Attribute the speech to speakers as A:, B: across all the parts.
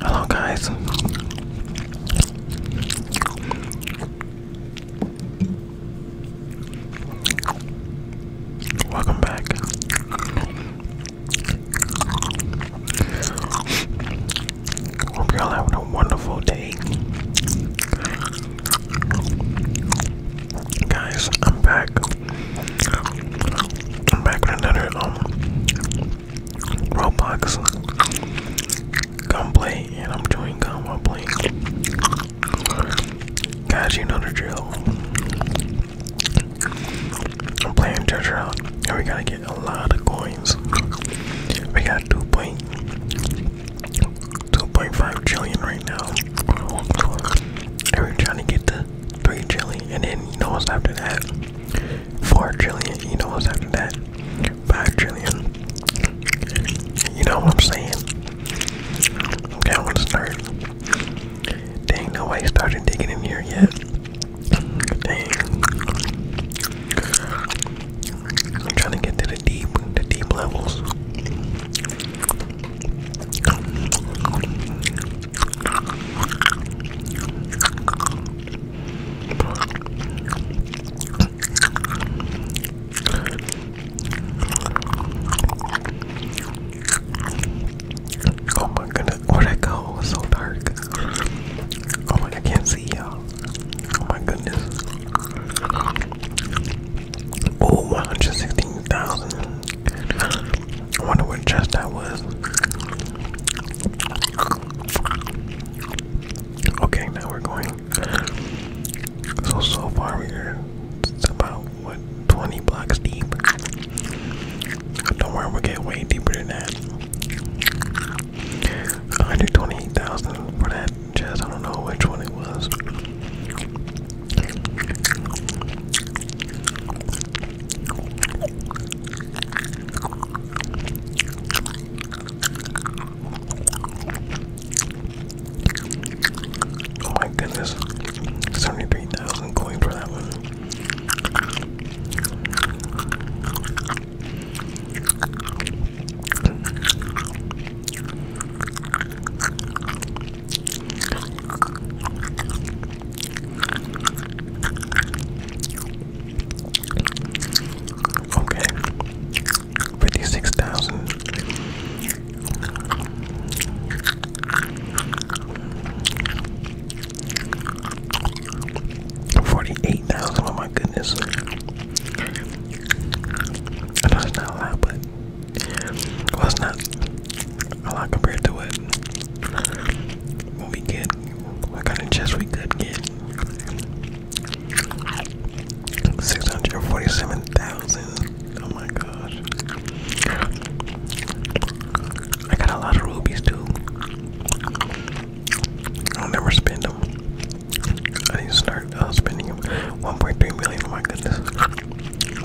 A: Hello, guys. Welcome back. Hope y'all having a wonderful day. Guys, I'm back. I'm back with another um Roblox gunplay and I'm doing gun while Guys, you know the drill. I'm playing church round and we gotta get a lot of coins. We got two point two point five trillion right now. And we're trying to get the three trillion, and then you know what's after that? Four trillion, you know what's after that? Five trillion. You know what I'm saying? Okay, I want to start. way nobody started digging in here yet. I'm trying to get to the deep, the deep levels. Oh my goodness, where'd I go? It's so dark. Oh my, I can't see y'all. Oh my goodness. Oh, 116,000. I wonder which chest that was. Okay, now we're going. So, so far we're about, what, 20 blocks deep. Don't worry, we'll get way deeper than that. 128,000 for that chest. I don't know which one it was. Oh my goodness, 73,000 coin for that one. Okay, fifty six thousand. Forty-eight thousand. Oh my goodness! I know it's not a lot, well, not a lot compared to it. we get what kind of chest we could get. 647,000. Oh my gosh. I got a lot of rubies too. I'll never spend them. I need to start uh, spending them. 1.3 million, oh my goodness.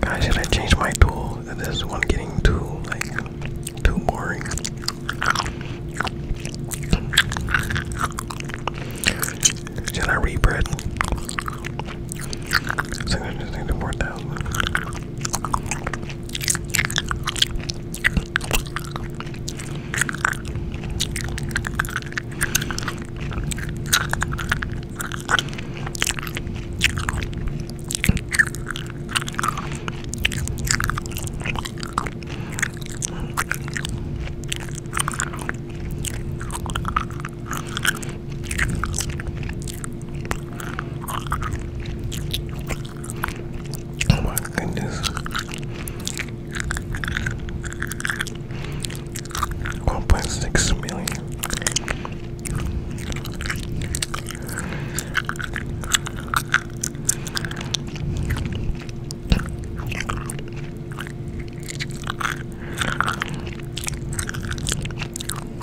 A: Guys, should I change my tool? This one getting too like too boring. Should I rebread? Six hundred sixty-four thousand. Oh my goodness. One point six million.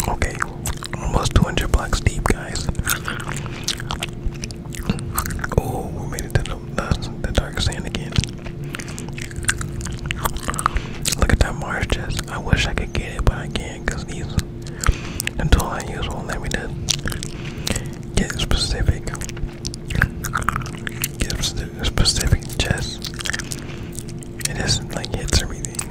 A: Okay, almost 200 blocks deep, guys. Oh, we made it to the, the, the dark sand again. Look at that Mars chest. I wish I could get get but I can't because these the tool I use won't let me to get specific, get specific chest. It isn't like hits everything.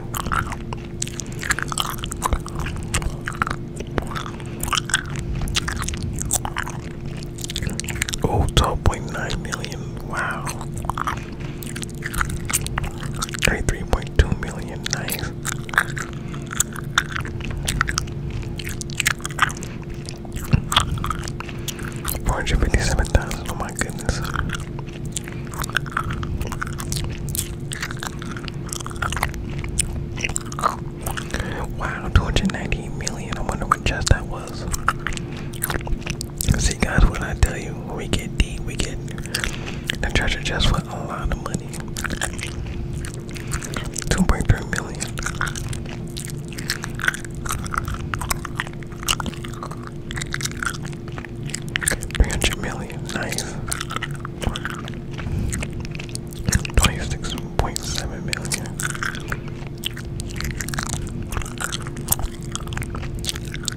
A: Oh, 12.9 million. Wow. 33.2 million, nice. Four hundred fifty-seven thousand. Oh my goodness! Wow, two hundred ninety million. I wonder what just that was. See, guys, when I tell you, when we get deep, we get the treasure chest for a lot of money. 2.3 million. 300 million.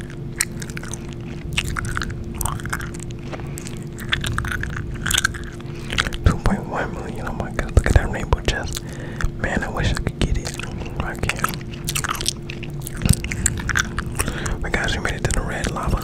A: 2.1 million, oh my god, look at that rainbow chest. Man, I wish I could get it. I can't. My guys, we made it to the red lava.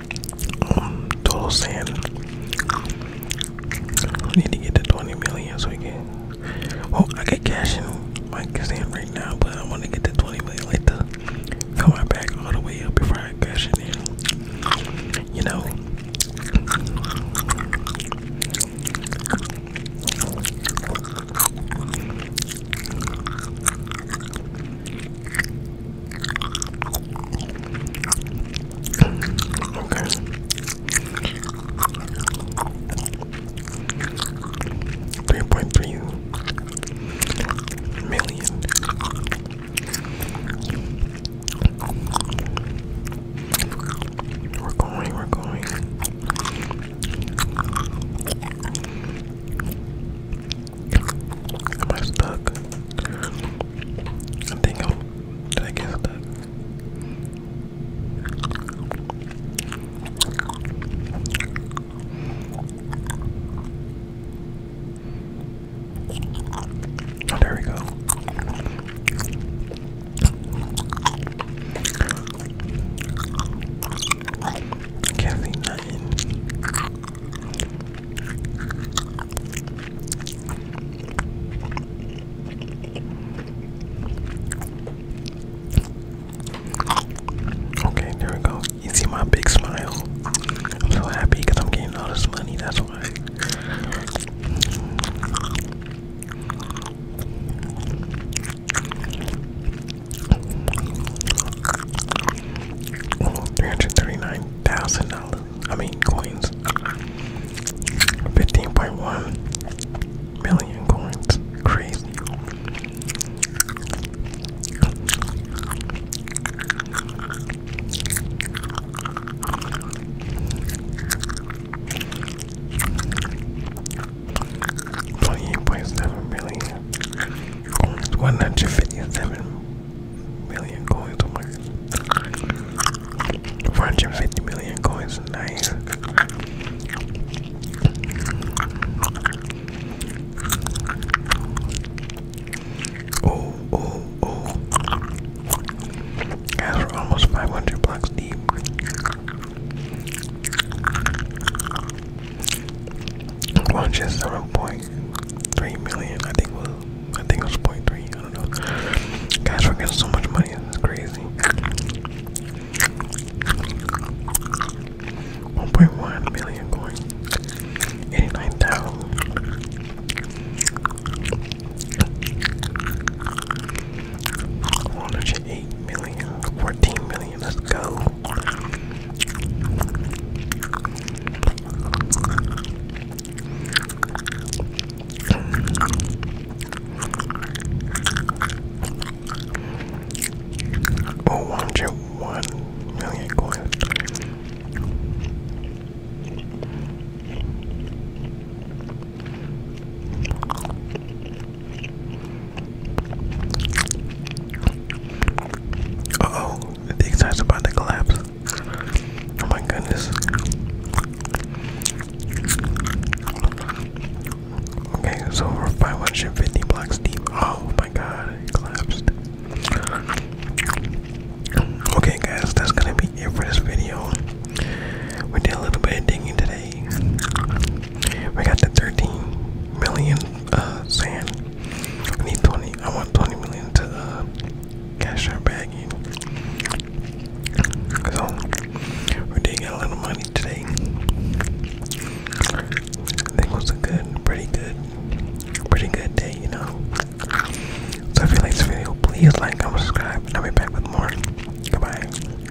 A: um, total sand. I need to get to 20 million so we can. Well, oh, I can cash in my sand right now, but I want to get to 20 million later. Fill my back all the way up before I cash in. You know. Three point three million. We're going, we're going. Am I stuck? I think I'll. Did I guess that? Oh, there we go. I can't Okay, there we go. You see my big smile. I'm so happy because I'm getting all this money. That's why. $339,000. I mean coins. 15.1 million coins. Crazy. Twenty eight point seven million coins. One hundred fifty seven million coins to 450 million coins, nice. Oh, oh, oh. Guys, we're almost 500 blocks deep. Launches 0.5 three million. I think was I think it was point three. I don't know. Guys, we're getting so much money. It's crazy. 1.1 million coins, 89,000. hundred eight eight million, fourteen million. Let's go. Oh, one chip, one million coins. oh, the excite's about to collapse. Oh my goodness. Okay, so we're 550 blocks deep. Oh my god, collapsed. Okay, guys, that's gonna be it for this video. We did a little bit of digging today. We got the 13 million uh, sand I need 20. I want 20 million to uh, cash our bag in. So we did a little money today. it was a good, pretty good, pretty good day, you know. So if you like this video, please like, comment, subscribe, I'll be back with more. Goodbye.